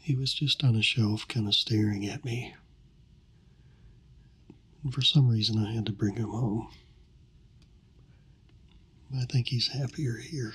He was just on a shelf, kind of staring at me. And for some reason, I had to bring him home. I think he's happier here.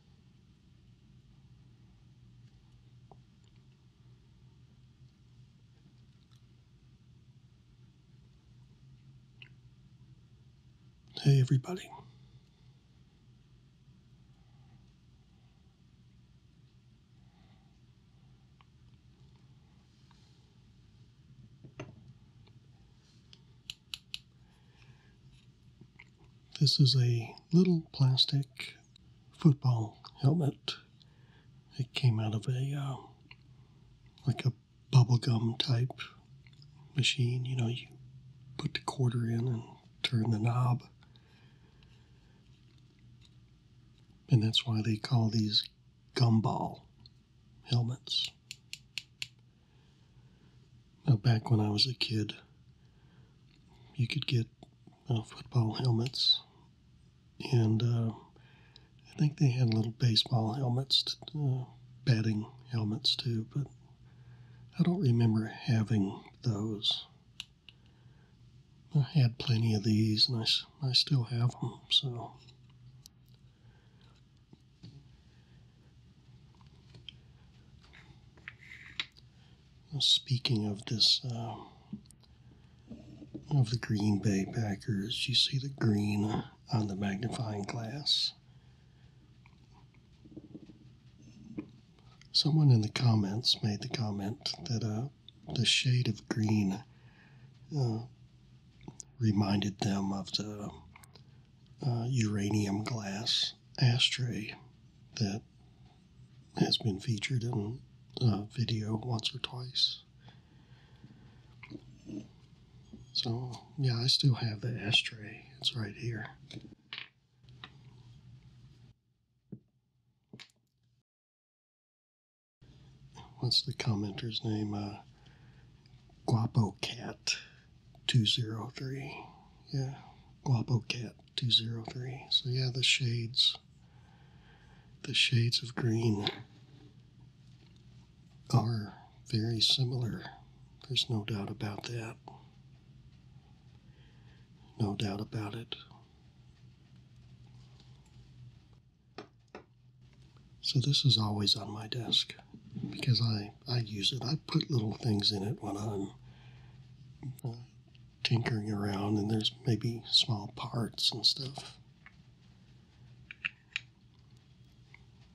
Hey, everybody. This is a little plastic football helmet. It came out of a um, like a bubblegum type machine. You know, you put the quarter in and turn the knob. And that's why they call these gumball helmets. Now, back when I was a kid, you could get uh, football helmets, and uh, I think they had little baseball helmets, uh, batting helmets too, but I don't remember having those. I had plenty of these, and I, I still have them, so. Speaking of this, uh, of the Green Bay Packers, you see the green on the magnifying glass. Someone in the comments made the comment that uh, the shade of green uh, reminded them of the uranium glass ashtray that has been featured in a video once or twice. So, yeah, I still have the ashtray. It's right here. What's the commenter's name? Uh, Guapo Cat 203. Yeah, Guapo Cat 203. So yeah, the shades, the shades of green are very similar. There's no doubt about that. No doubt about it. So this is always on my desk because I, I use it. I put little things in it when I'm uh, tinkering around and there's maybe small parts and stuff.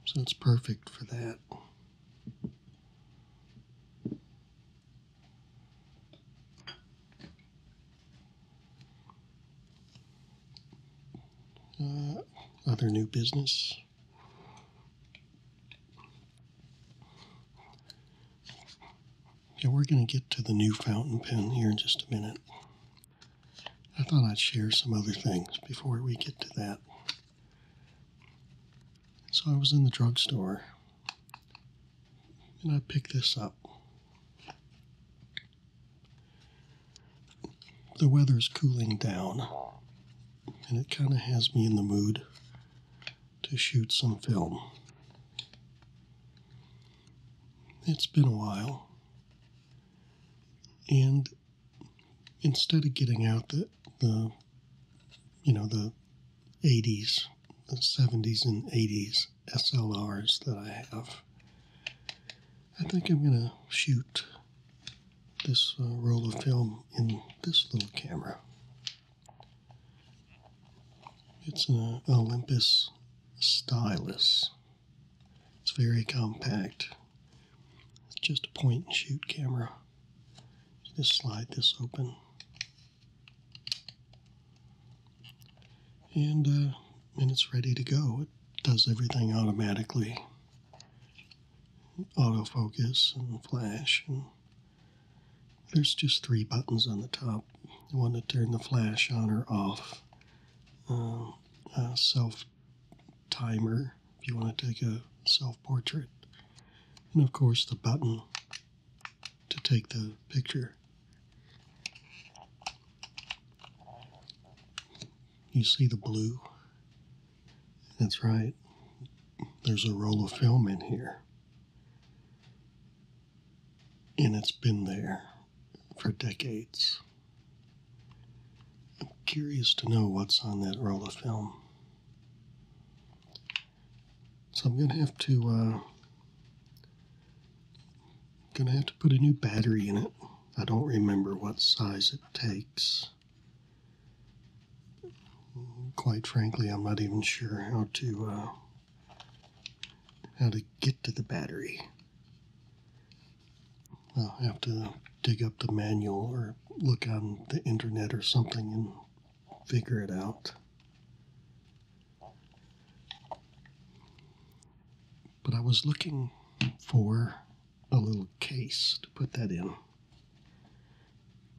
So it's perfect for that. Uh, other new business. Yeah, we're going to get to the new fountain pen here in just a minute. I thought I'd share some other things before we get to that. So I was in the drugstore and I picked this up. The weather's cooling down and it kind of has me in the mood to shoot some film. It's been a while. And instead of getting out the, the you know, the 80s, the 70s and 80s SLRs that I have, I think I'm going to shoot this uh, roll of film in this little camera. It's an Olympus stylus. It's very compact. It's just a point and shoot camera. Just slide this open. And, uh, and it's ready to go. It does everything automatically autofocus and flash and there's just three buttons on the top. one to turn the flash on or off. Uh, self timer if you want to take a self portrait. And of course, the button to take the picture. You see the blue? That's right. There's a roll of film in here and it's been there for decades. I'm curious to know what's on that roll of film. So I'm gonna have to uh, gonna have to put a new battery in it. I don't remember what size it takes. Quite frankly, I'm not even sure how to uh, how to get to the battery. I'll have to dig up the manual or look on the internet or something and figure it out. But I was looking for a little case to put that in.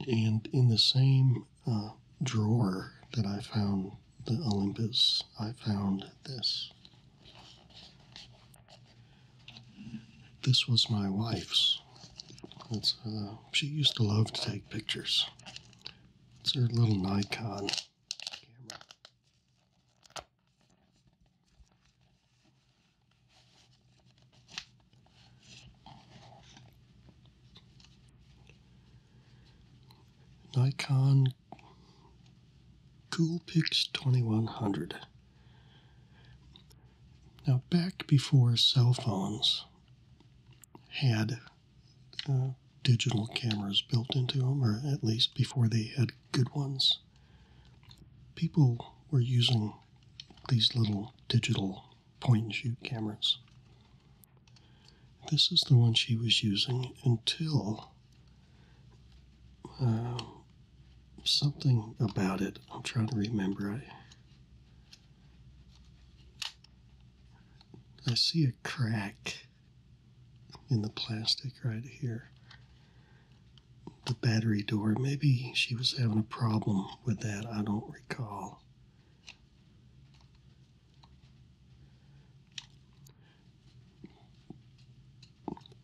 And in the same uh, drawer that I found the Olympus, I found this. This was my wife's. It's, uh, she used to love to take pictures. It's her little Nikon camera. Nikon Coolpix 2100. Now, back before cell phones had uh, digital cameras built into them, or at least before they had good ones, people were using these little digital point and shoot cameras. This is the one she was using until um, something about it. I'm trying to remember. I I see a crack in the plastic right here. The battery door. Maybe she was having a problem with that. I don't recall.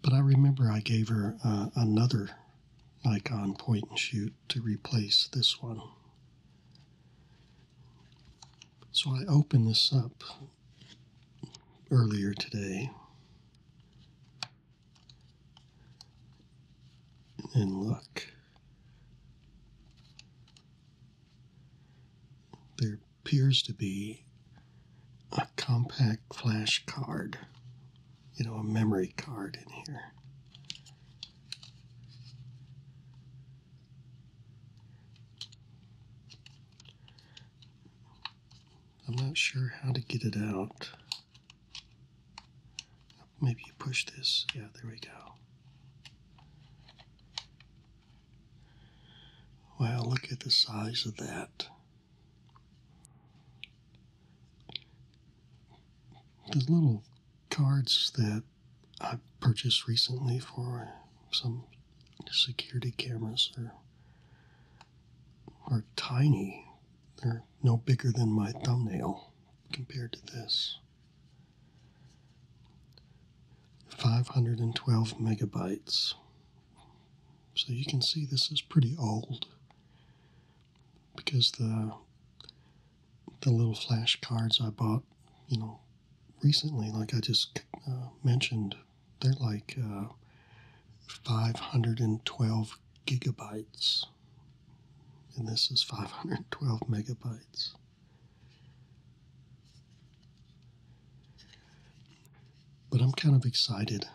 But I remember I gave her uh, another Nikon point and shoot to replace this one. So I opened this up earlier today and look. There appears to be a compact flash card, you know, a memory card in here. I'm not sure how to get it out maybe you push this. Yeah, there we go. Wow, look at the size of that. The little cards that I purchased recently for some security cameras are, are tiny. They're no bigger than my thumbnail compared to this. 512 megabytes. So you can see this is pretty old because the the little flash cards I bought, you know, recently, like I just uh, mentioned, they're like uh, 512 gigabytes, and this is 512 megabytes. But I'm kind of excited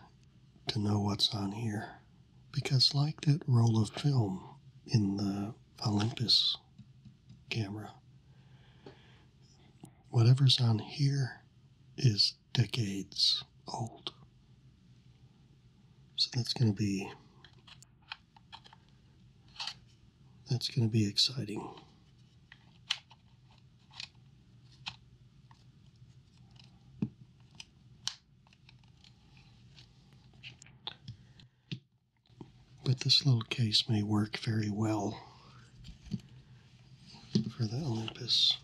to know what's on here because, like that roll of film in the Olympus camera, whatever's on here is decades old. So that's going to be that's going to be exciting. But this little case may work very well for the Olympus.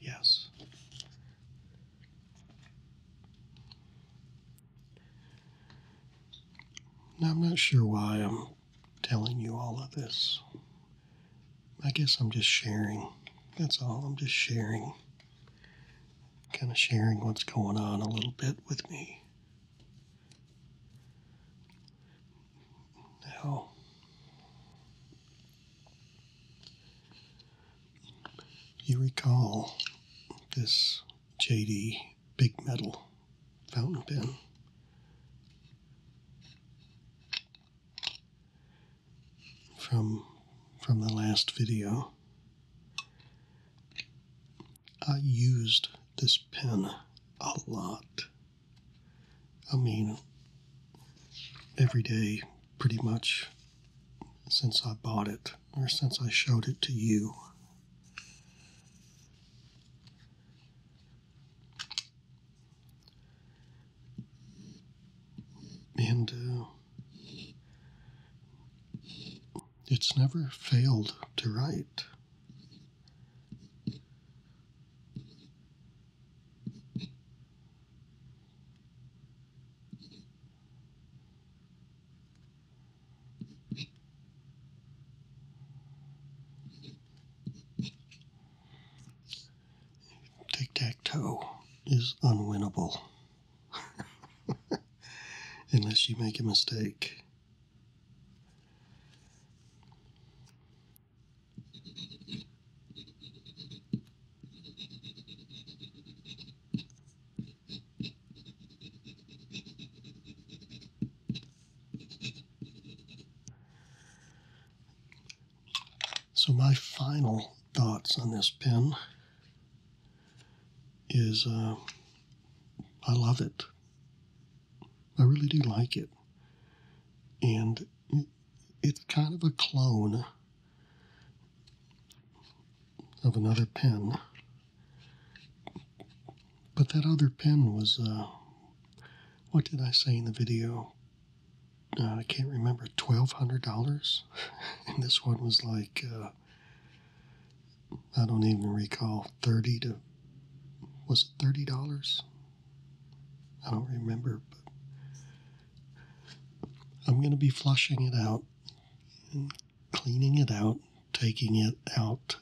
Yes. Now, I'm not sure why I'm telling you all of this. I guess I'm just sharing. That's all. I'm just sharing. Kind of sharing what's going on a little bit with me. Now, you recall this JD Big Metal fountain pen. From, from the last video. I used this pen a lot. I mean, every day pretty much since I bought it or since I showed it to you. And uh, it's never failed to write. Tic tac toe is unwinnable unless you make a mistake. So my final thoughts on this pen is uh, I love it. I really do like it. And it's kind of a clone of another pen, But that other pen was, uh, what did I say in the video? Uh, I can't remember, $1,200? and this one was like, uh, I don't even recall, 30 to, was it $30? I don't remember, but I'm going to be flushing it out cleaning it out, taking it out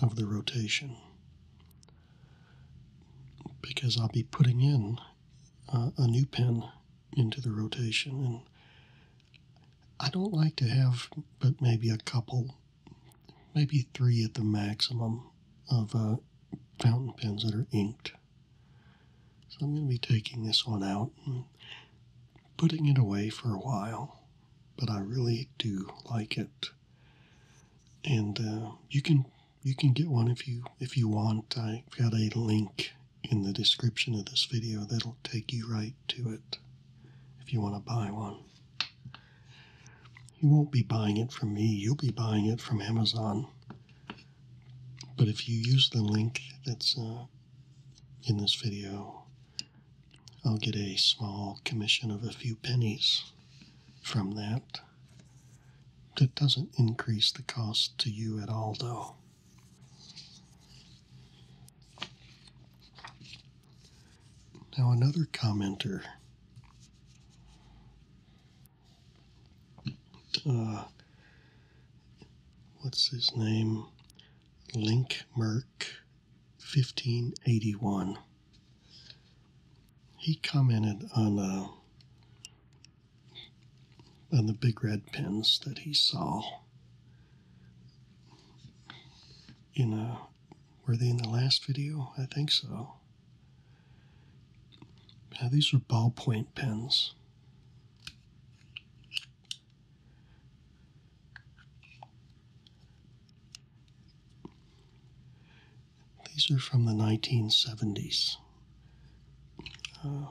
of the rotation. Because I'll be putting in uh, a new pen into the rotation. And I don't like to have but maybe a couple, maybe three at the maximum of uh, fountain pens that are inked. So I'm going to be taking this one out putting it away for a while, but I really do like it. And uh, you can you can get one if you if you want. I've got a link in the description of this video that'll take you right to it if you want to buy one. You won't be buying it from me, you'll be buying it from Amazon. But if you use the link that's uh, in this video, I'll get a small commission of a few pennies from that. That doesn't increase the cost to you at all, though. Now, another commenter uh, what's his name? Link Merck, 1581. He commented on uh, on the big red pins that he saw. You uh, know, were they in the last video? I think so. Now these are ballpoint pens. These are from the 1970s. Uh, um,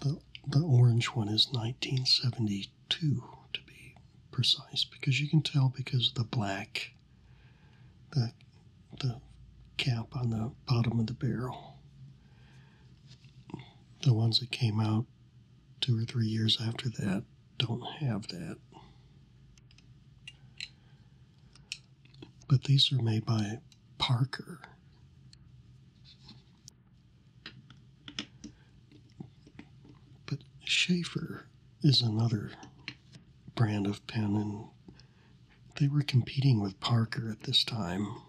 the, the orange one is 1972 to be precise because you can tell because of the black the the cap on the bottom of the barrel. The ones that came out two or three years after that don't have that. But these are made by Parker. But Schaefer is another brand of pen, and they were competing with Parker at this time.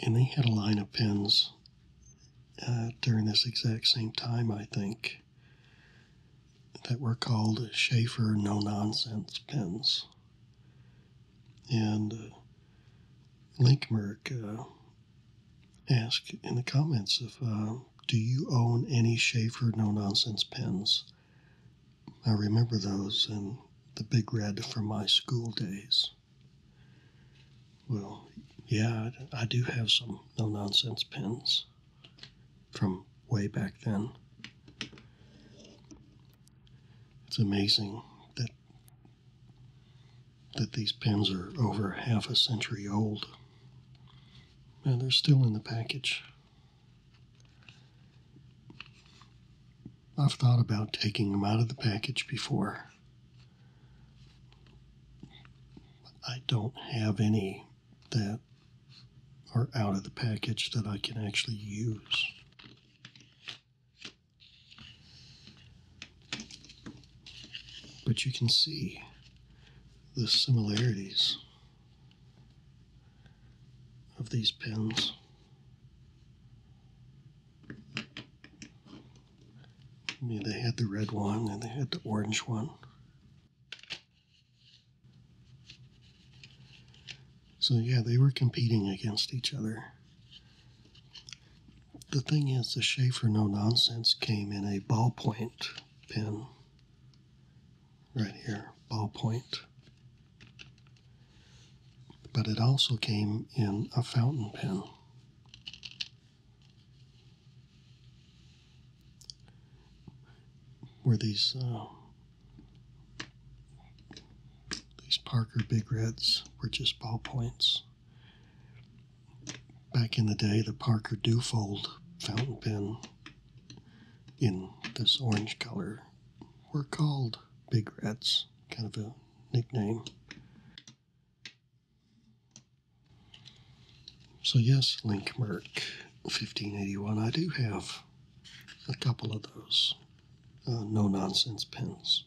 And they had a line of pins uh, during this exact same time, I think, that were called Schaefer No Nonsense pins. And uh, Linkmerk uh, asked in the comments if, uh, do you own any Schaefer No Nonsense pins?" I remember those and the big red from my school days. Well, yeah, I do have some no nonsense pens from way back then. It's amazing that that these pens are over half a century old and they're still in the package. I've thought about taking them out of the package before. I don't have any that are out of the package that I can actually use. But you can see the similarities of these pins. I mean, they had the red one and they had the orange one. So, yeah, they were competing against each other. The thing is, the Schaefer No Nonsense came in a ballpoint pen right here, ballpoint. But it also came in a fountain pen. Where these uh, these Parker Big Reds were just ballpoints. Back in the day, the Parker DuFold fountain pen in this orange color we're called big rats, kind of a nickname. So, yes, Link Merc 1581, I do have a couple of those uh, no nonsense pins.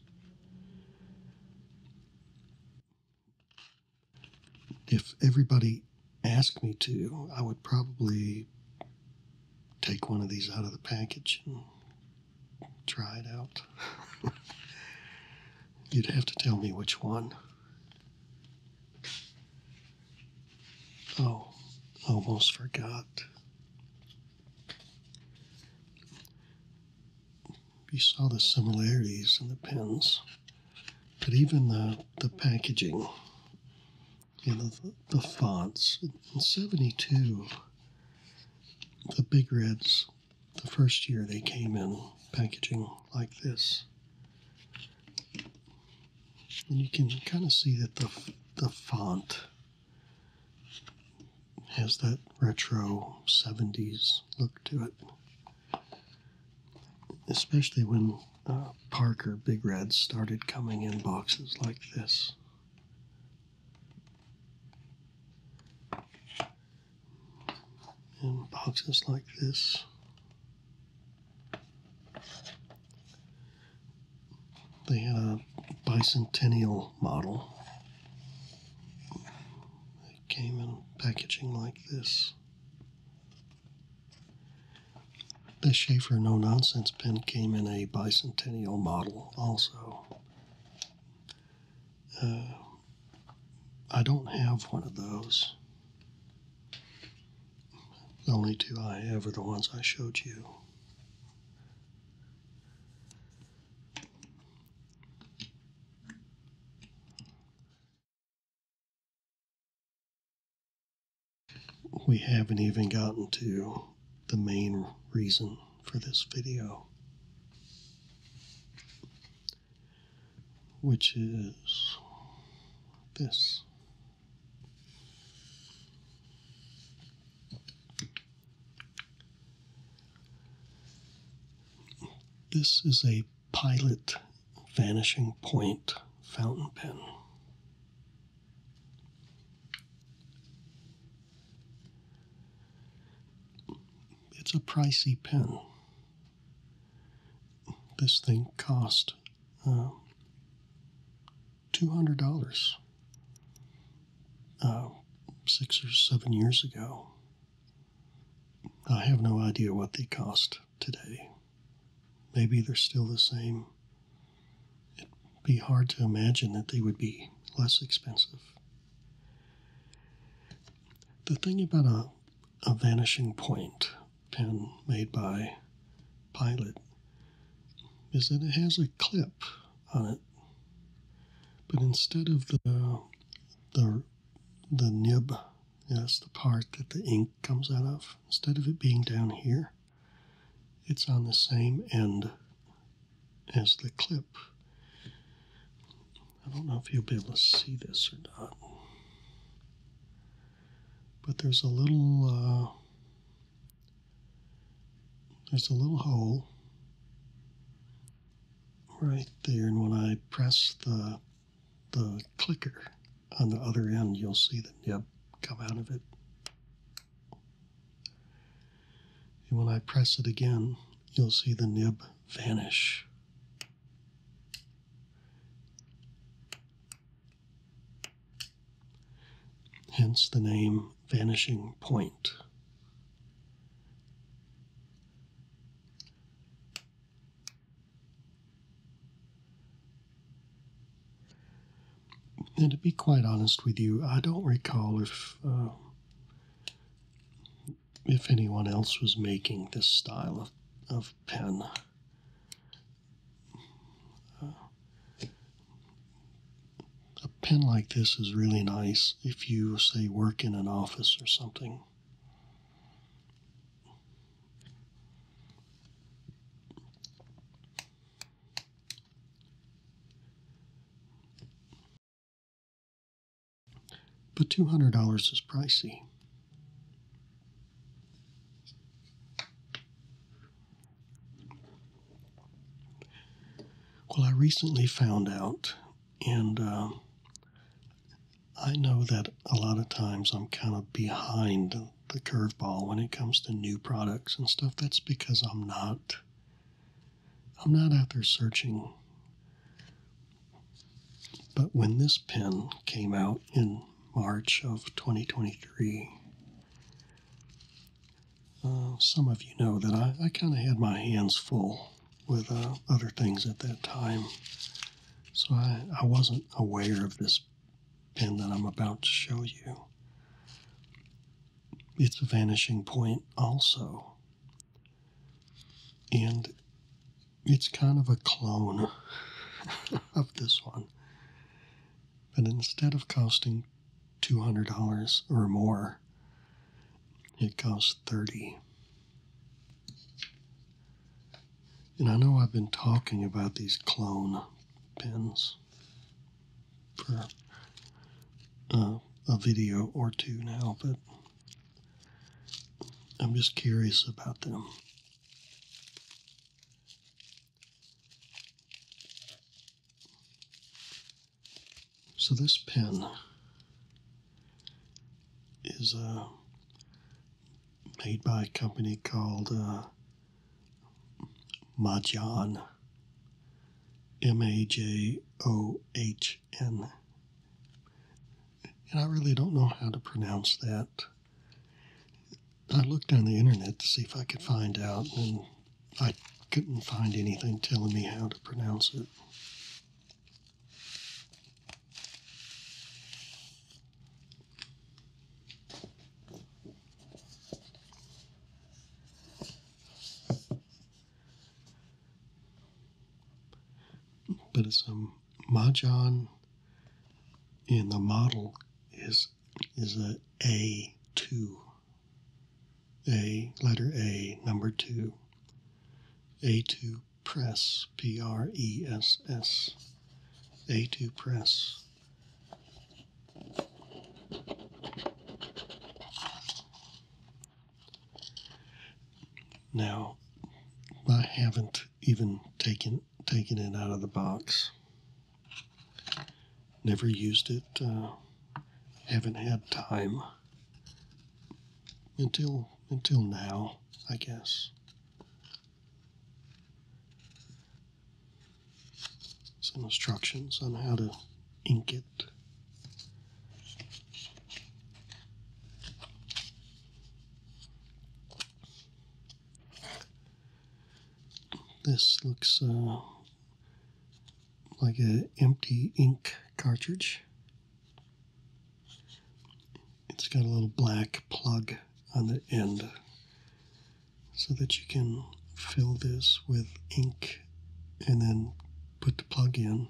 If everybody asked me to, I would probably take one of these out of the package and try it out. You'd have to tell me which one. Oh, almost forgot. You saw the similarities in the pins, but even the, the packaging you know, the, fonts. In 72, the Big Reds, the first year they came in packaging like this. And you can kind of see that the, the font has that retro 70s look to it. Especially when uh, Parker Big Red started coming in boxes like this. In boxes like this. They had a bicentennial model. It came in packaging like this. This Schaefer No Nonsense pen came in a bicentennial model also. Uh, I don't have one of those. The only two I have are the ones I showed you we haven't even gotten to the main reason for this video, which is this. This is a pilot vanishing point fountain pen. It's a pricey pen. This thing cost uh, $200 uh, six or seven years ago. I have no idea what they cost today. Maybe they're still the same it'd be hard to imagine that they would be less expensive. The thing about a, a vanishing point pen made by Pilot is that it has a clip on it, but instead of the the the nib, yes, the part that the ink comes out of, instead of it being down here, it's on the same end as the clip. I don't know if you'll be able to see this or not. But there's a little, uh, there's a little hole right there. And when I press the, the clicker on the other end, you'll see the nib come out of it. And when I press it again, you'll see the nib vanish. Hence the name Vanishing Point. And to be quite honest with you, I don't recall if um, if anyone else was making this style of of pen. Uh, a pen like this is really nice if you, say, work in an office or something. But $200 is pricey. Well, I recently found out, and uh, I know that a lot of times I'm kind of behind the, curveball when it comes to new products and stuff. That's because I'm not I'm not out there searching. But when this pen came out in March of 2023, uh, some of you know that I, kind of had my hands full with uh, other things at that time. So I wasn't aware of this this pin that I'm about to show you. It's a vanishing point, also. And it's kind of a clone of this one. But instead of costing $200 or more, it costs 30 And I know I've been talking about these clone pins for uh, a video or two now, but I'm just curious about them. So this pen is uh, made by a company called uh, Majan, M A J O H N. And I really don't know how to pronounce that. I looked on the internet to see if I could find out, and I couldn't find anything telling me how to pronounce it. But it's a mahjong, and the model is is a A two. A letter A number two. A two press P R E S S. A two press. Now, I haven't even taken taken it out of the box. Never used it. Uh, haven't had time until until now, I guess some instructions on how to ink it. This looks uh, like an empty ink cartridge. It's got a little black plug on the end so that you can fill this with ink and then put the plug in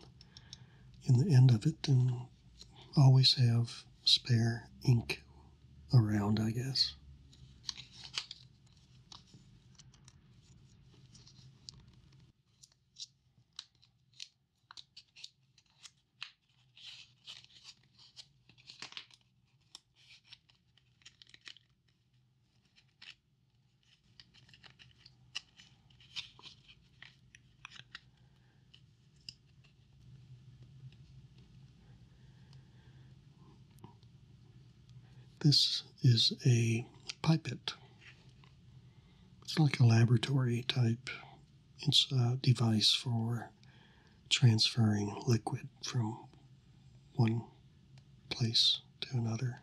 in the end of it and always have spare ink around, I guess. This is a pipette. It's like a laboratory type It's a device for transferring liquid from one place to another.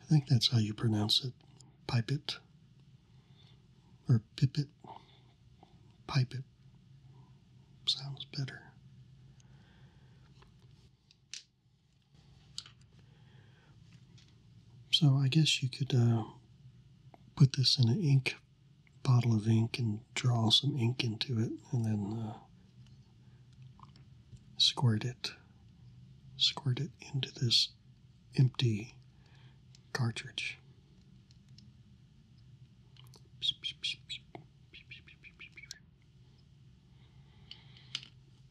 I think that's how you pronounce it. Pipe it. Or pip it. Pipe it. Sounds better. So I guess you could uh, put this in an ink bottle of ink and draw some ink into it and then uh, squirt it squirt it into this empty cartridge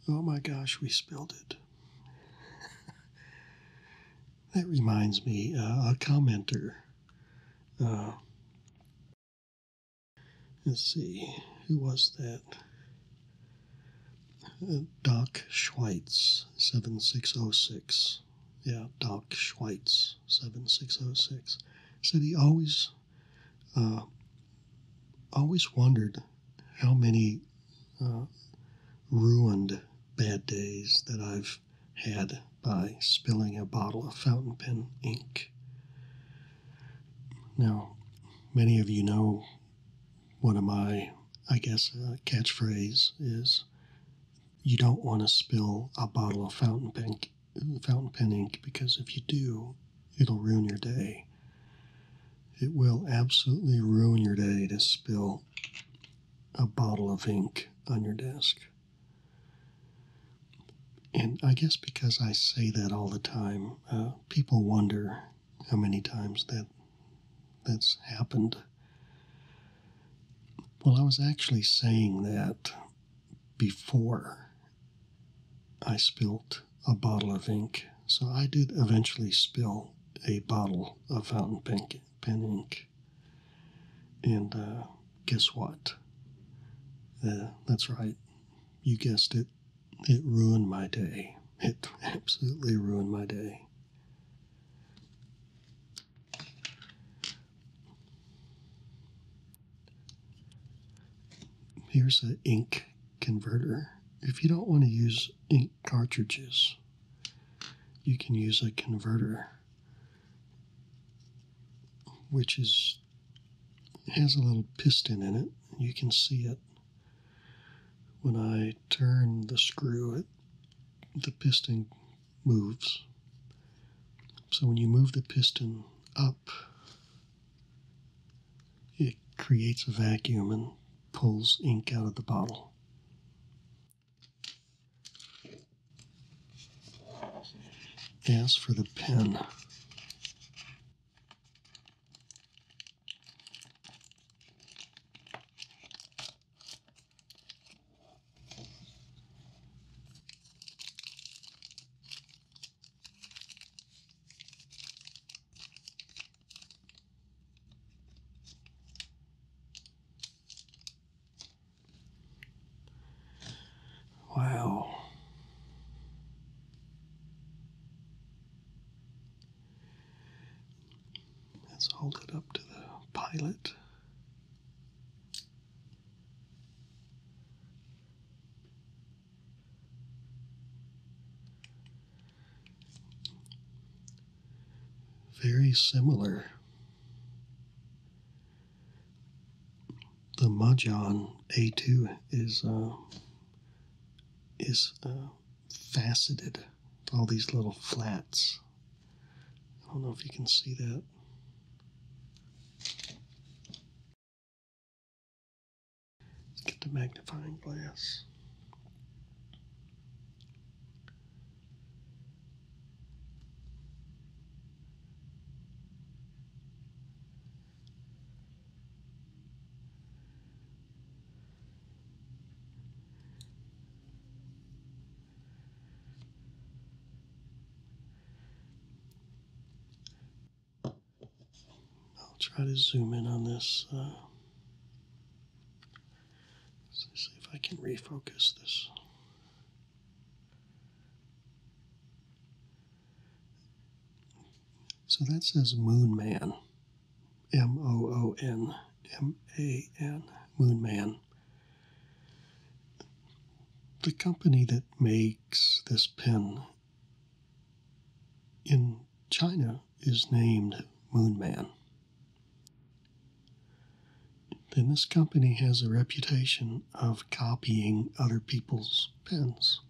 oh my gosh we spilled it that reminds me uh, a commenter uh, let's see, who was that? Uh, Doc Schweitz, 7606. Yeah, Doc Schweitz, 7606. Said he always, uh, always wondered how many ruined bad days that I've had by spilling a bottle of fountain pen ink. Now, many of you know one of my, I guess, uh, catchphrase is you don't want to spill a bottle of fountain pen, fountain pen ink because if you do, it'll ruin your day. It will absolutely ruin your day to spill a bottle of ink on your desk. And I guess because I say that all the time, uh, people wonder how many times that that's happened. Well, I was actually saying that before I spilt a bottle of ink. So I did eventually spill a bottle of fountain pen, pen ink. And uh, guess what? that's right. You guessed it. It ruined my day. It absolutely ruined my day. Here's an ink converter. If you don't want to use ink cartridges, you can use a converter which is has a little piston in it. You can see it when I turn the screw. It the piston moves. So when you move the piston up, it creates a vacuum and pulls ink out of the bottle. As for the pen, Wow. Let's hold it up to the pilot. Very similar the Mahjong A2 is uh, is uh, faceted all these little flats. I don't know if you can see that. Let's get the magnifying glass. I'll try to zoom in on this. Uh, see if I can refocus this. So that says Moon Man. M O O N M A N, Moon Man. The company that makes this pen in China is named Moon Man then this company has a reputation of copying other people's pens.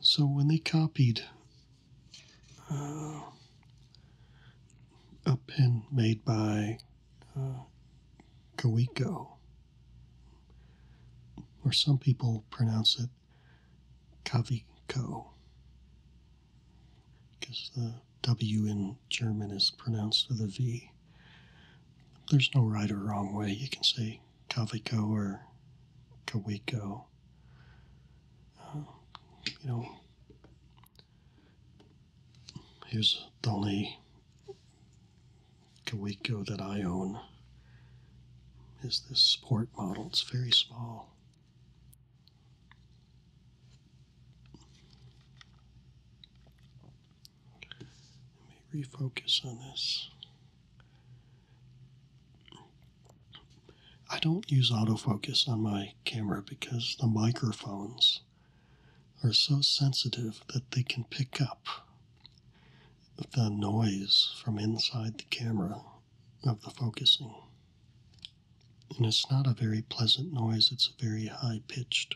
So when they copied uh, a pen made by uh, or some people pronounce it Kaviko, because the W in German is pronounced with a V. There's no right or wrong way. You can say Kaviko or Kawiko. Um, you know, here's the only Kawiko that I own is this sport model. It's very small. Let me refocus on this. I don't use autofocus on my camera because the microphones are so sensitive that they can pick up the noise from inside the camera of the focusing and it's not a very pleasant noise, it's very high pitched.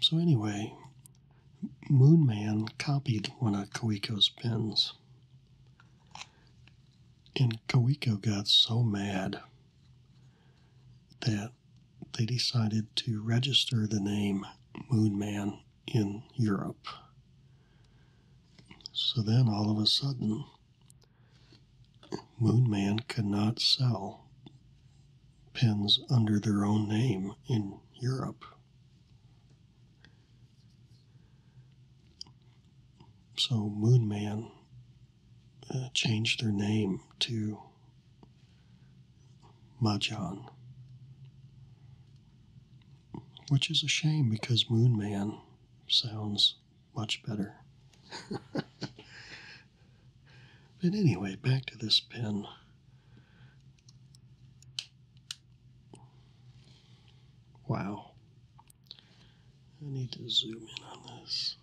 So, anyway, Moonman copied one of Koiko's pens, And Koiko got so mad that they decided to register the name Moon Man in Europe. So then all of a sudden, Moon Man could not sell pins under their own name in Europe. So Moon Man uh, changed their name to Mahjong. Which is a shame because Moon Man sounds much better. but anyway, back to this pen. Wow. I need to zoom in on this.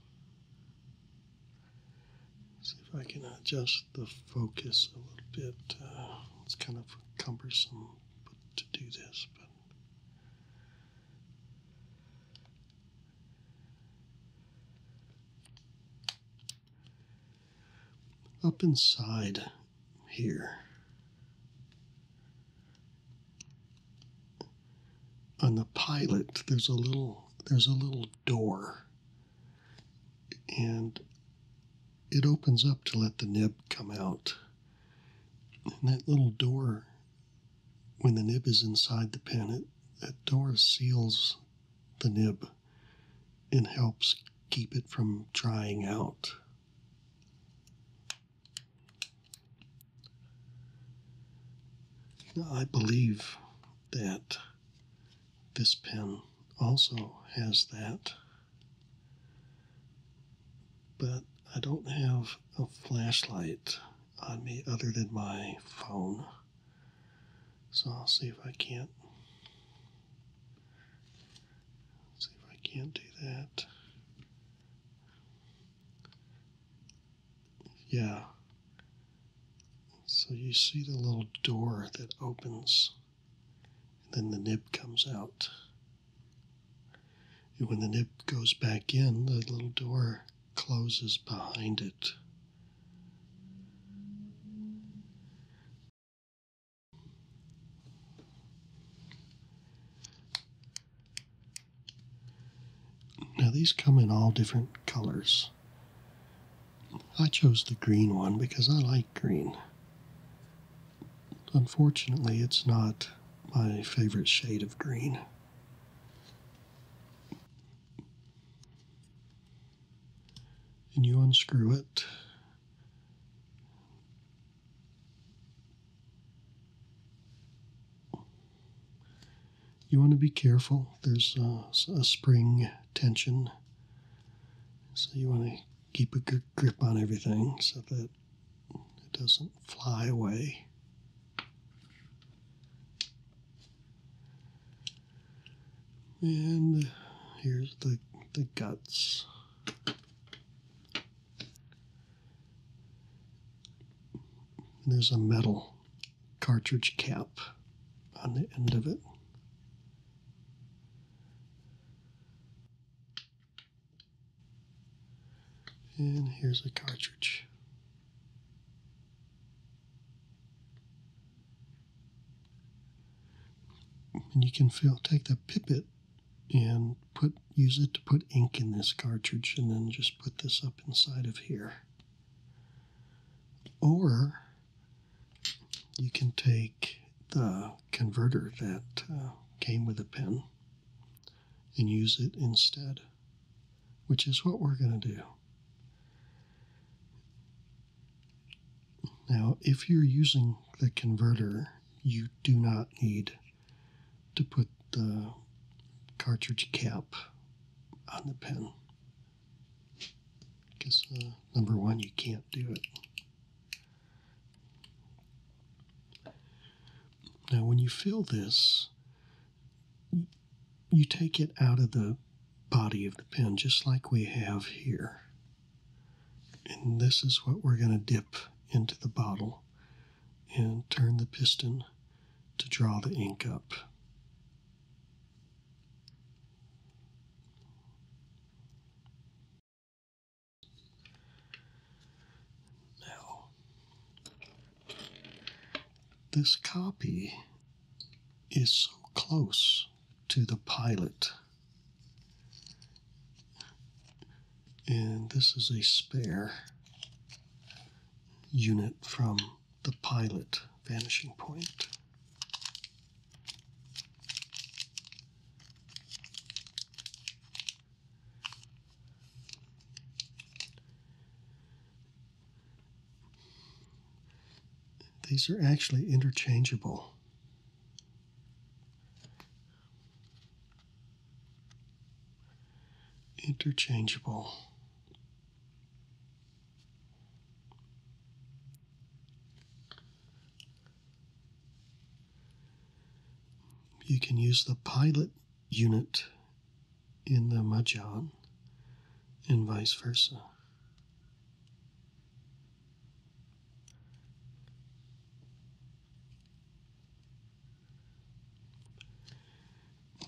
See if I can adjust the focus a little bit. Uh, it's kind of cumbersome to do this, but up inside here on the pilot there's a little there's a little door and it opens up to let the nib come out. And that little door, when the nib is inside the pen, it, that door seals the nib and helps keep it from drying out. I believe that this pen also has that, but I don't have a flashlight on me other than my phone. So I'll see if I can't see if I can't do that. Yeah. So you see the little door that opens, and then the nib comes out. And when the nib goes back in, the little door closes behind it. Now, these come in all different colors. I chose the green one because I like green. Unfortunately, it's not my favorite shade of green. And you unscrew it you want to be careful. There's uh, a, spring tension. So you want to keep a good grip on everything so that it doesn't fly away. And here's the, the guts. There's a metal cartridge cap on the end of it. And here's a cartridge. And you can feel, take the pipet and put use it to put ink in this cartridge and then just put this up inside of here. Or you can take the converter that uh, came with the pen and use it instead, which is what we're going to do. Now, if you're using the converter, you do not need to put the cartridge cap on the pen. Because uh, number one, you can't do it. Now, when you fill this, you take it out of the body of the pen, just like we have here. And this is what we're going to dip into the bottle and turn the piston to draw the ink up. Now, this copy is so close to the pilot. And this is a spare unit from the pilot vanishing point. These are actually interchangeable. Interchangeable. You can use the pilot unit in the Majan and vice versa.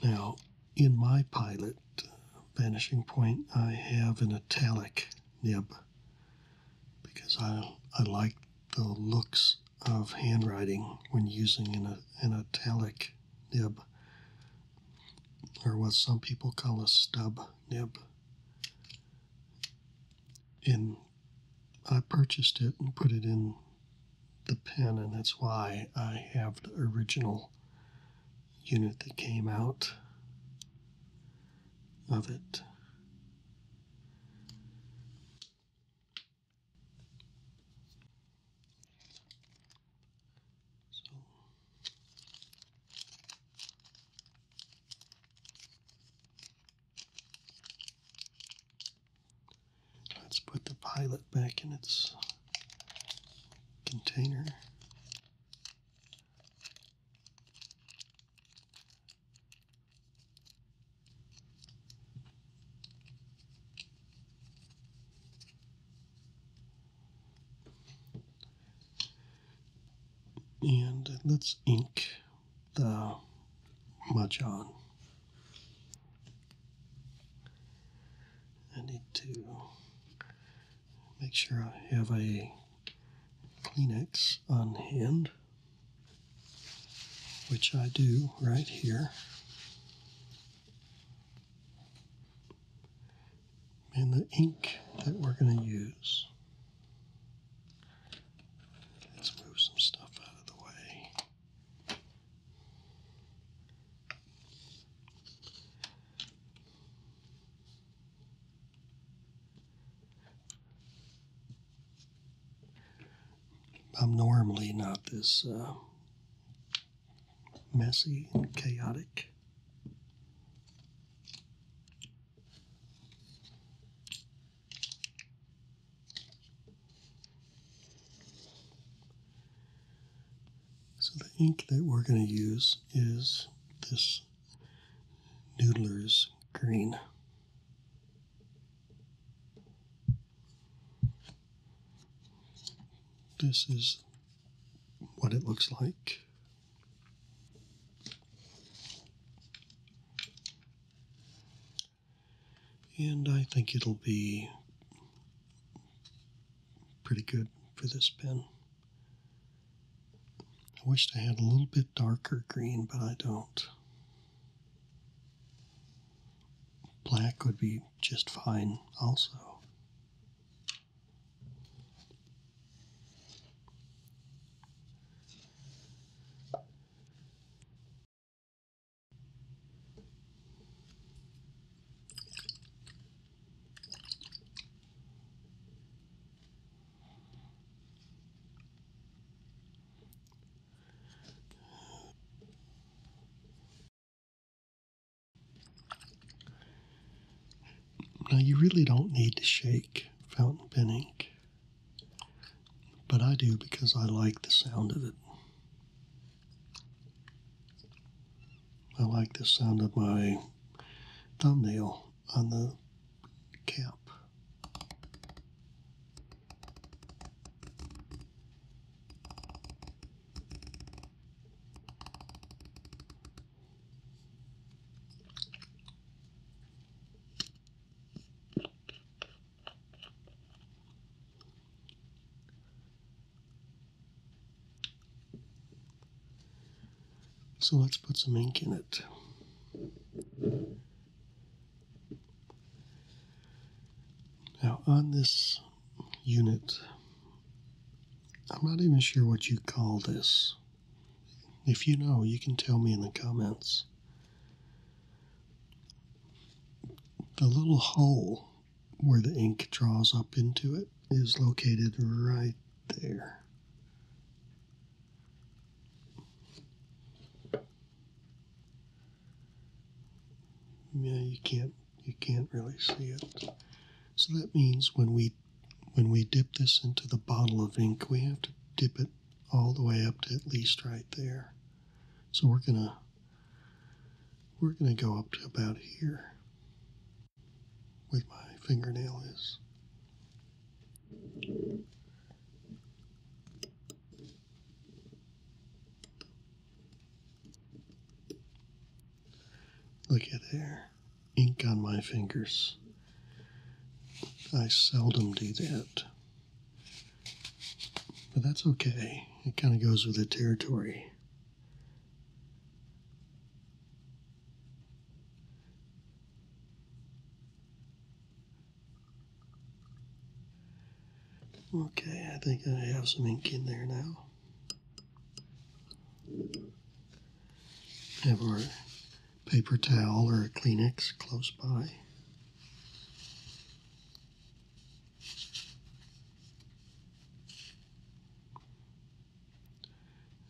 Now, in my pilot uh, vanishing point, I have an italic nib because I, I like the looks of handwriting when using an, an italic nib or what some people call a stub nib. And I purchased it and put it in the pen, and that's why I have the original unit that came out of it. Let's put the pilot back in its container. And let's ink the Mahjong. I need to Make sure I have a Kleenex on hand, which I do right here. And the ink that we're going to use. Let's move some stuff out of the way. I'm normally not this uh, messy and chaotic. So the ink that we're going to use is this Noodler's Green. This is what it looks like. And I think it'll be pretty good for this pen. I wished I had a little bit darker green, but I don't. Black would be just fine also. Now, you really don't need to shake fountain pen ink, but I do because I like the sound of it. I like the sound of my thumbnail on the cap. So let's put some ink in it. Now on this unit, I'm not even sure what you call this. If you know, you can tell me in the comments. The little hole where the ink draws up into it is located right there. Yeah, you can't you can't really see it. So that means when we when we dip this into the bottle of ink, we have to dip it all the way up to at least right there. So we're gonna we're gonna go up to about here with my fingernail is. Look at there, ink on my fingers. I seldom do that. But that's okay. It kind of goes with the territory. Okay, I think I have some ink in there now. Have our paper towel or a Kleenex close by.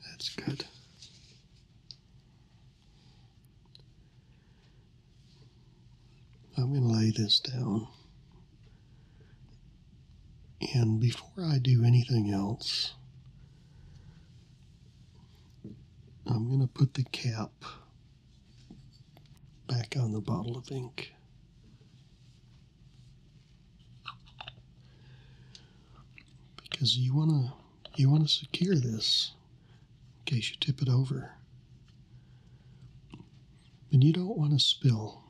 That's good. I'm going to lay this down. And before I do anything else, I'm going to put the cap back on the bottle of ink. Because you wanna you wanna secure this in case you tip it over. And you don't want to spill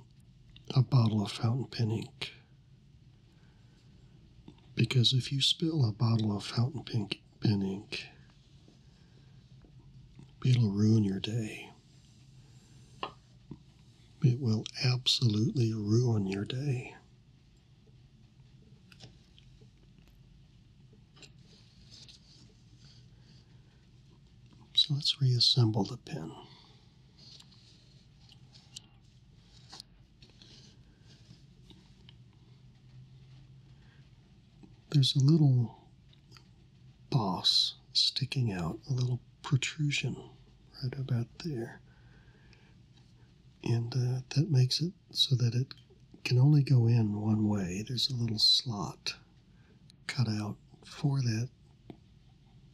a bottle of fountain pen ink. Because if you spill a bottle of fountain pen, pen ink, it'll ruin your day. It will absolutely ruin your day. So let's reassemble the pin. There's a little boss sticking out, a little protrusion right about there and uh, that makes it so that it can only go in one way. There's a little slot cut out for that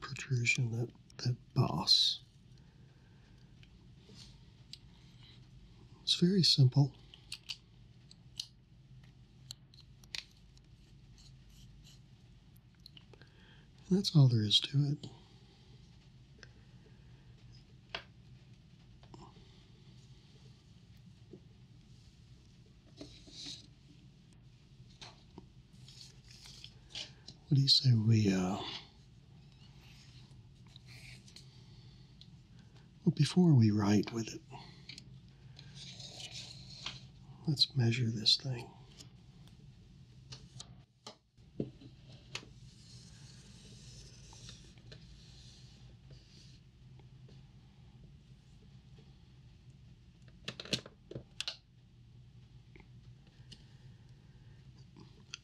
protrusion, that, that boss. It's very simple that's all there is to it. What do you say we, uh, well, before we write with it, let's measure this thing.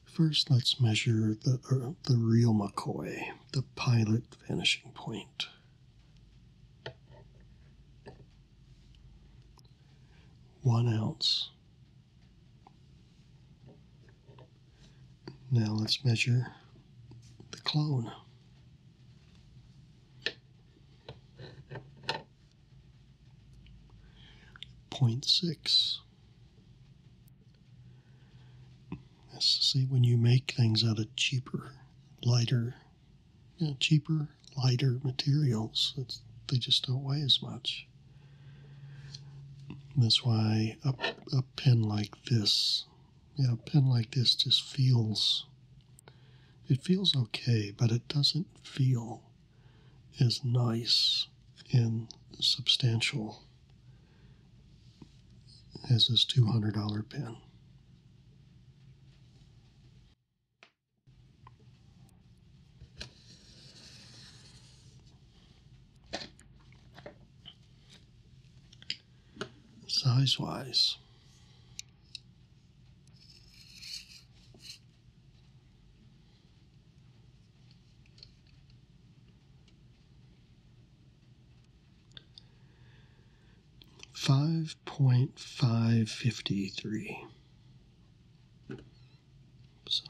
First, let's measure the, uh, the real McCoy, the pilot vanishing point. One ounce now let's measure the clone. Point 0.6. see when you make things out of cheaper, lighter, cheaper, lighter materials, they just don't weigh as much. That's why a, a pen like this, yeah, a pen like this just feels, it feels okay, but it doesn't feel as nice and substantial as this $200 pen size wise. Five point five fifty three. So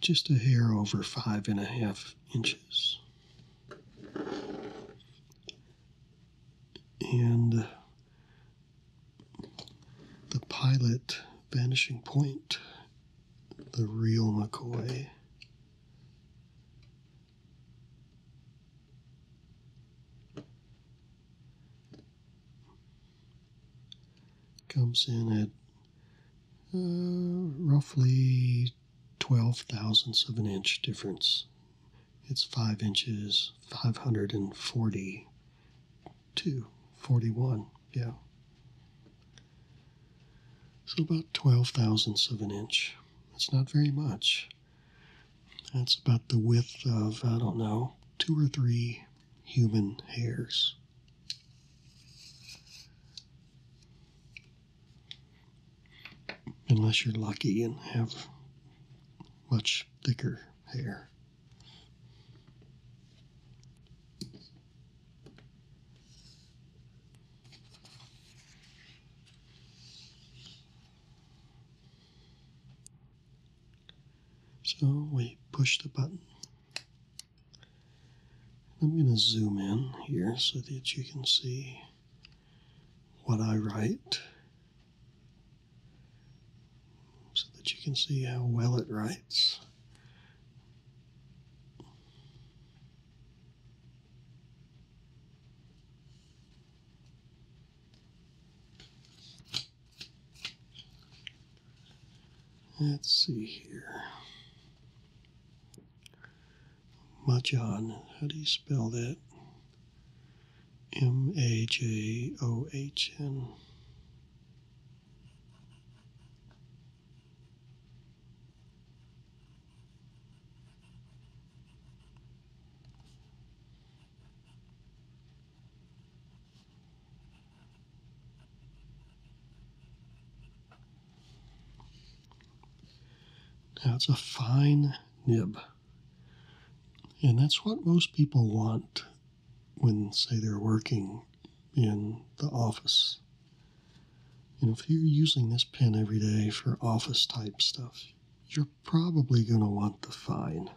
just a hair over five and a half inches. And uh, the pilot vanishing point, the real McCoy comes in at uh, roughly 12 thousandths of an inch difference. It's 5 inches, 542, 41, yeah. So about 12 thousandths of an inch. That's not very much. That's about the width of, I don't know, two or three human hairs. Unless you're lucky and have much thicker hair. So we push the button. I'm going to zoom in here so that you can see what I write, so that you can see how well it writes. Let's see here. Majan. How do you spell that? M A J O H N. Now it's a fine nib. And that's what most people want when, say, they're working in the office. And if you're using this pen every day for office type stuff, you're probably going to want the fine.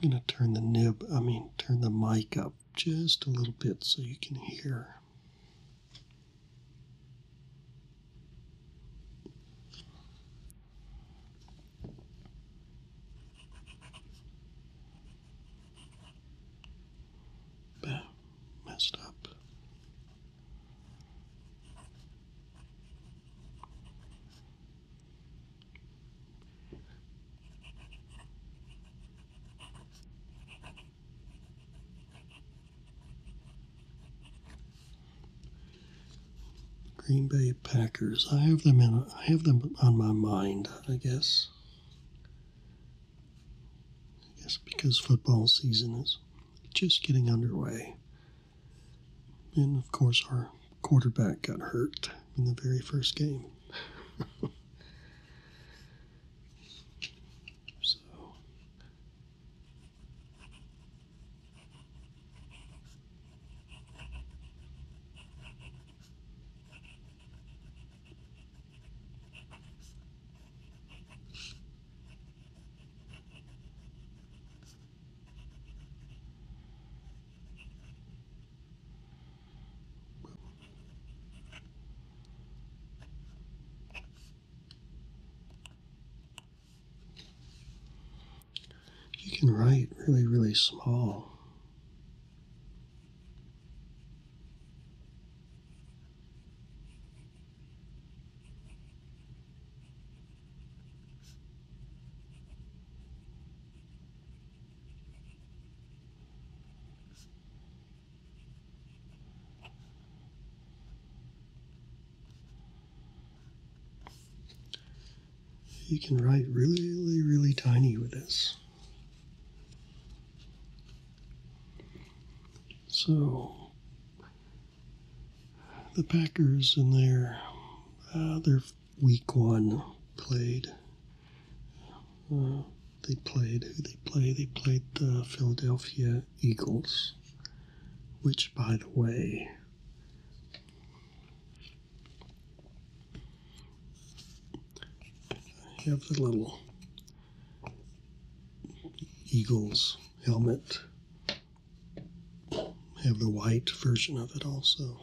I'm going to turn the nib, I mean, turn the mic up just a little bit so you can hear. Bah, messed up. Green Bay Packers. I have them in. I have them on my mind. I guess. I guess because football season is just getting underway, and of course our quarterback got hurt in the very first game. so. You can write really, really small. You can write really, really tiny with this. So the Packers in there—they're. Uh, week one played. Uh, they played who they play. They played the Philadelphia Eagles, which, by the way, have the little Eagles helmet. have the white version of it also.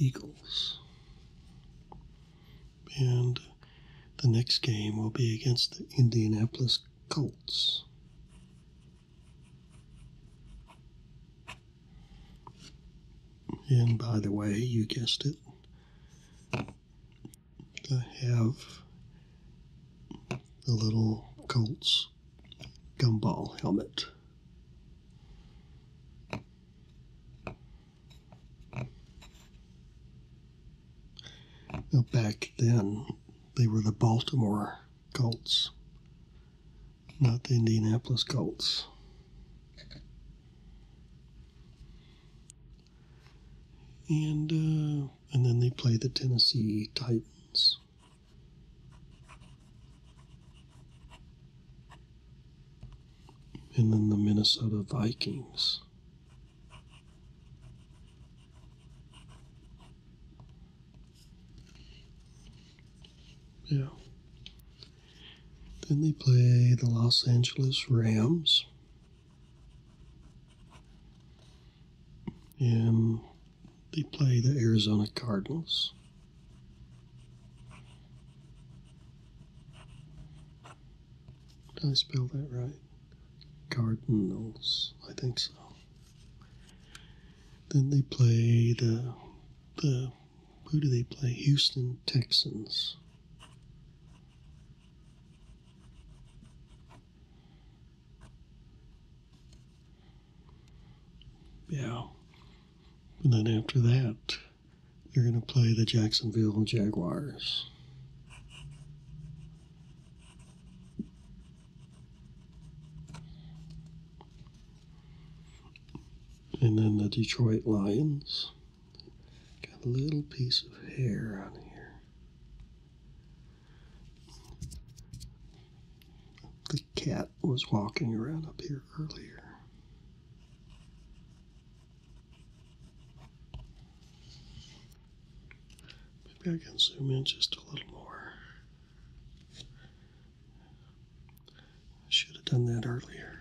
Eagles. And the next game will be against the Indianapolis Colts. And by the way, you guessed it, I have the little Colts gumball helmet. Now back then, they were the Baltimore Colts not the Indianapolis Colts. And uh, and then they play the Tennessee Titans. And then the Minnesota Vikings. Yeah. Then they play the Los Angeles Rams and they play the Arizona Cardinals. Did I spell that right? Cardinals, I think so. Then they play the the who do they play? Houston Texans. Yeah. And then after that, they're going to play the Jacksonville Jaguars. And then the Detroit Lions. Got a little piece of hair on here. The cat was walking around up here earlier. Maybe I can zoom in just a little more should have done that earlier.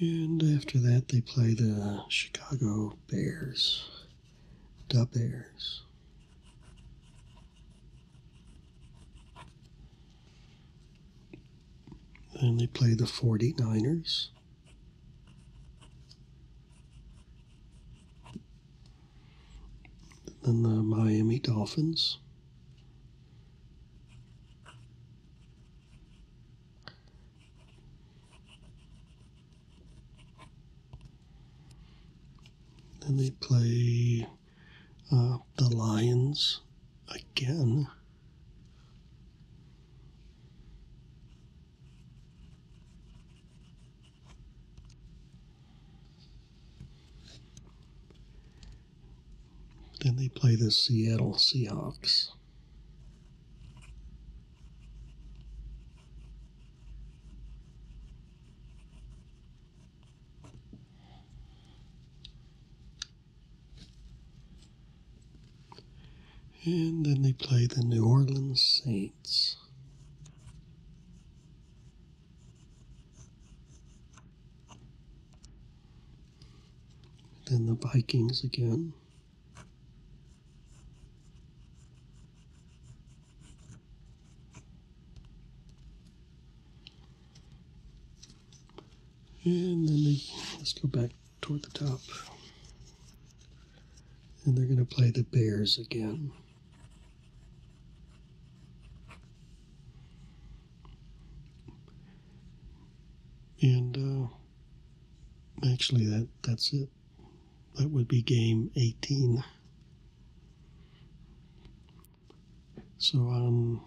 And after that, they play the Chicago Bears, the Bears. Then they play the 49ers. Then the Miami Dolphins. Then they play uh, the Lions again. Then they play the Seattle Seahawks. And then they play the New Orleans Saints. Then the Vikings again. And then let's go back toward the top. And they're going to play the Bears again. And uh, actually, that, that's it. That would be game 18. So, um,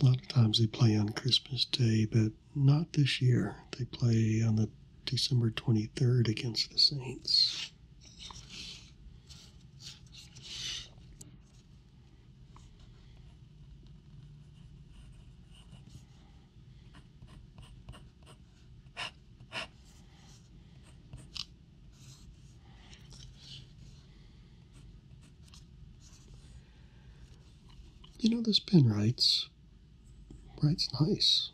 a lot of times they play on Christmas Day, but not this year. They play on the December 23rd against the Saints. You know, this pen writes Right, nice.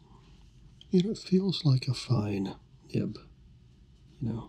it feels like a fine nib, you know.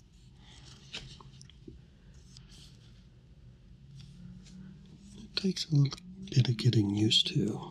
It takes a little bit of getting used to.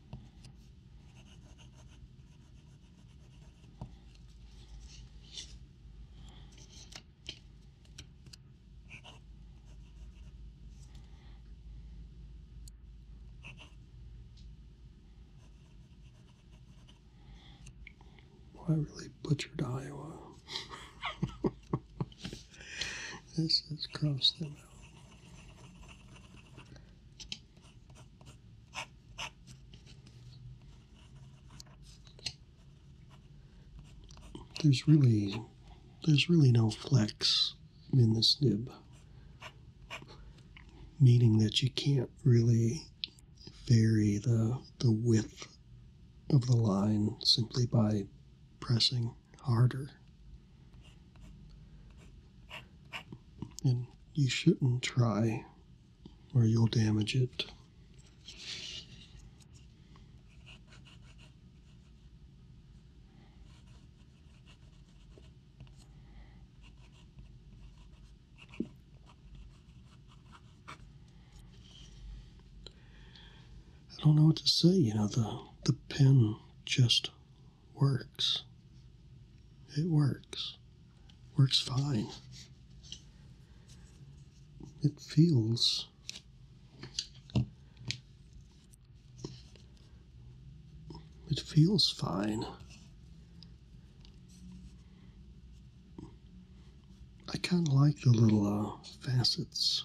I really butchered Iowa. this is gross. There's really, there's really no flex in this nib, meaning that you can't really vary the, the width of the line simply by pressing harder. And you shouldn't try, or you'll damage it. I don't know what to say, you know, the the pen just works. It works. Works fine. It feels It feels fine. I kind of like the little uh, facets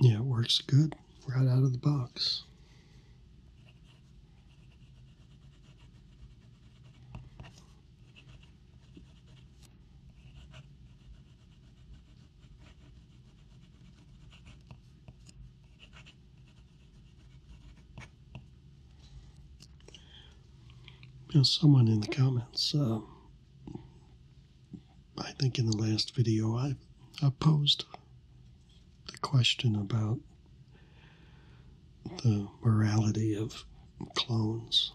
Yeah, it works good right out of the box. You someone in the comments uh, I think in the last video I, posed the question about the morality of clones.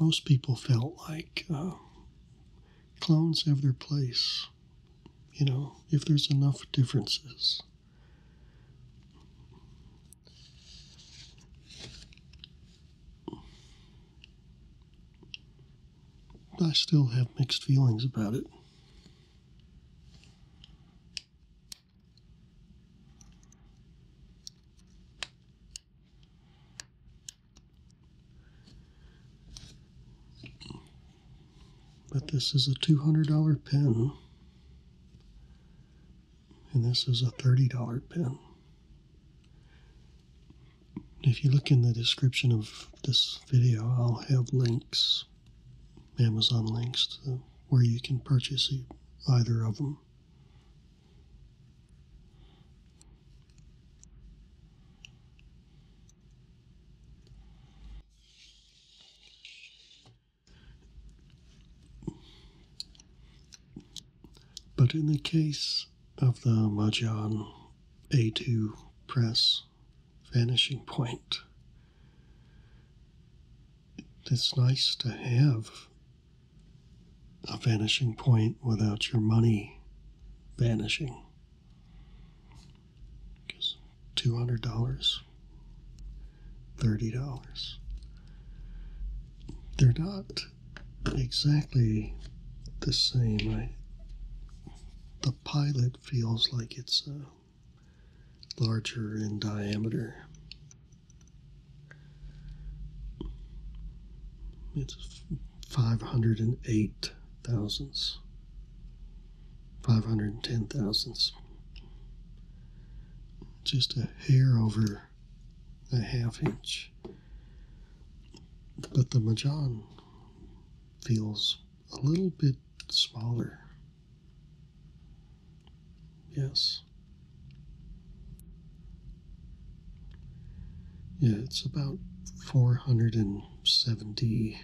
Most people felt like uh, clones have their place, you know, if there's enough differences. I still have mixed feelings about it. But this is a $200 pen and this is a $30 pen. If you look in the description of this video, I'll have links, Amazon links, to where you can purchase either of them. But in the case of the Majan A2 press vanishing point, it's nice to have a vanishing point without your money vanishing. $200 $30. They're not exactly the same. the pilot feels like it's uh, larger in diameter. It's 508 thousandths, 510 thousandths just a hair over a half inch. But the Majan feels a little bit smaller. Yes. Yeah, it's about 470,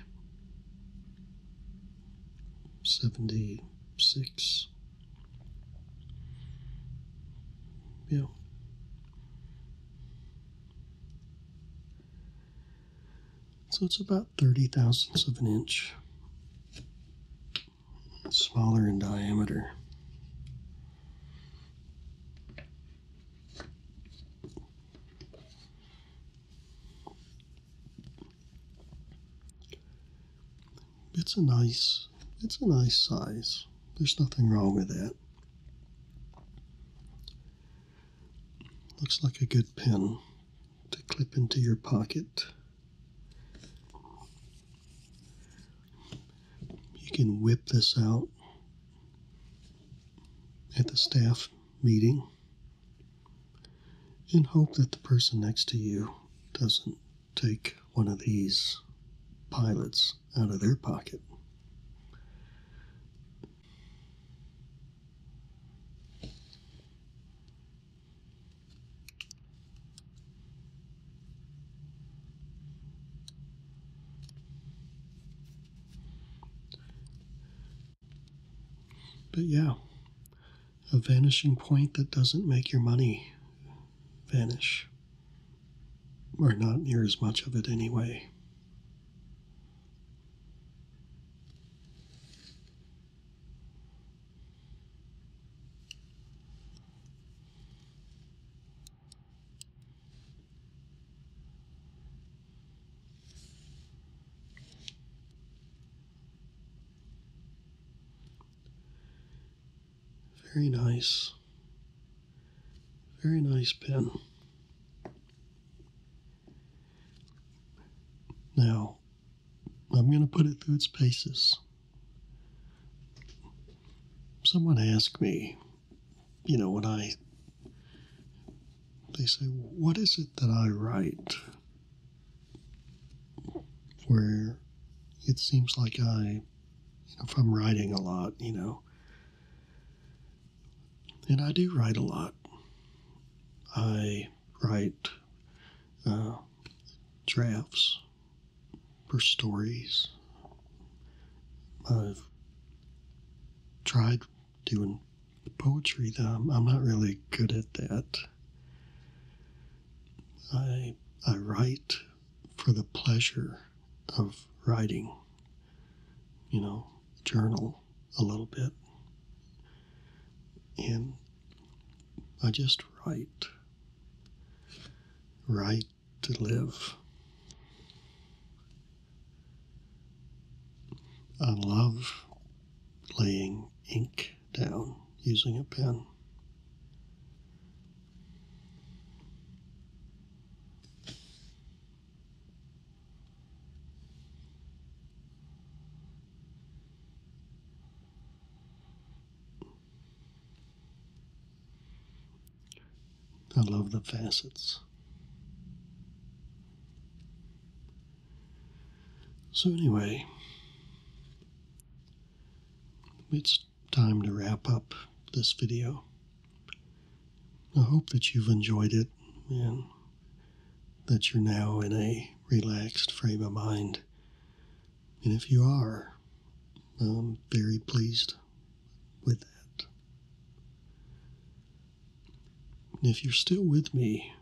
yeah. So it's about 30 thousandths of an inch smaller in diameter it's a nice it's a nice size. There's nothing wrong with that. Looks like a good pen to clip into your pocket. You can whip this out at the staff meeting and hope that the person next to you doesn't take one of these pilots out of their pocket. But yeah, a vanishing point that doesn't make your money vanish, or not near as much of it anyway. Very nice. Very nice pen. Now, I'm going to put it through its paces. Someone asked me, you know, when I, they say, what is it that I write? where it seems like I, if I'm writing a lot, you know, and I do write a lot. I write uh, drafts for stories. I've tried doing poetry, though I'm not really good at that. I, I write for the pleasure of writing, you know, journal a little bit. And I just write. Write to live. I love laying ink down using a pen. I love the facets. So, anyway, it's time to wrap up this video. I hope that you've enjoyed it and that you're now in a relaxed frame of mind. And if you are, I'm very pleased with that. if you're still with me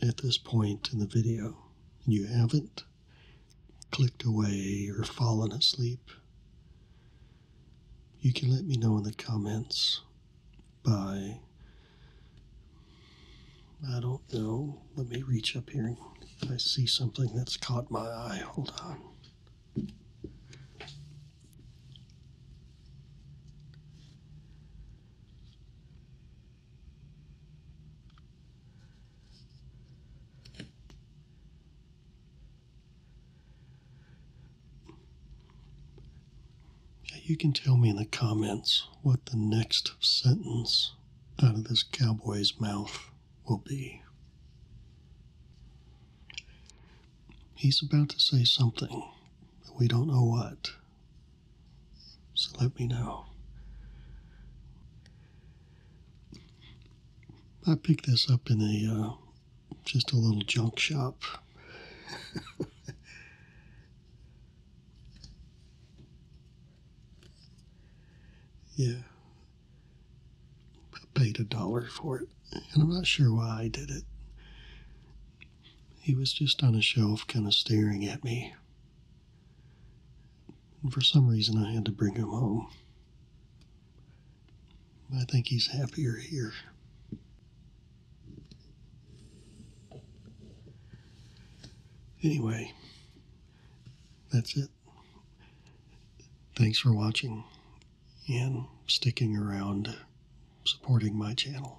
at this point in the video and you haven't, clicked away or fallen asleep, you can let me know in the comments Bye. I don't know, let me reach up here I see something that's caught my eye. Hold on you can tell me in the comments what the next sentence out of this cowboy's mouth will be. He's about to say something, but we don't know what. So let me know. I picked this up in a uh, just a little junk shop. yeah. I paid a dollar for it, and I'm not sure why I did it. He was just on a shelf, kind of staring at me. And for some reason, I had to bring him home. I think he's happier here. Anyway, that's it. Thanks for watching and sticking around supporting my channel.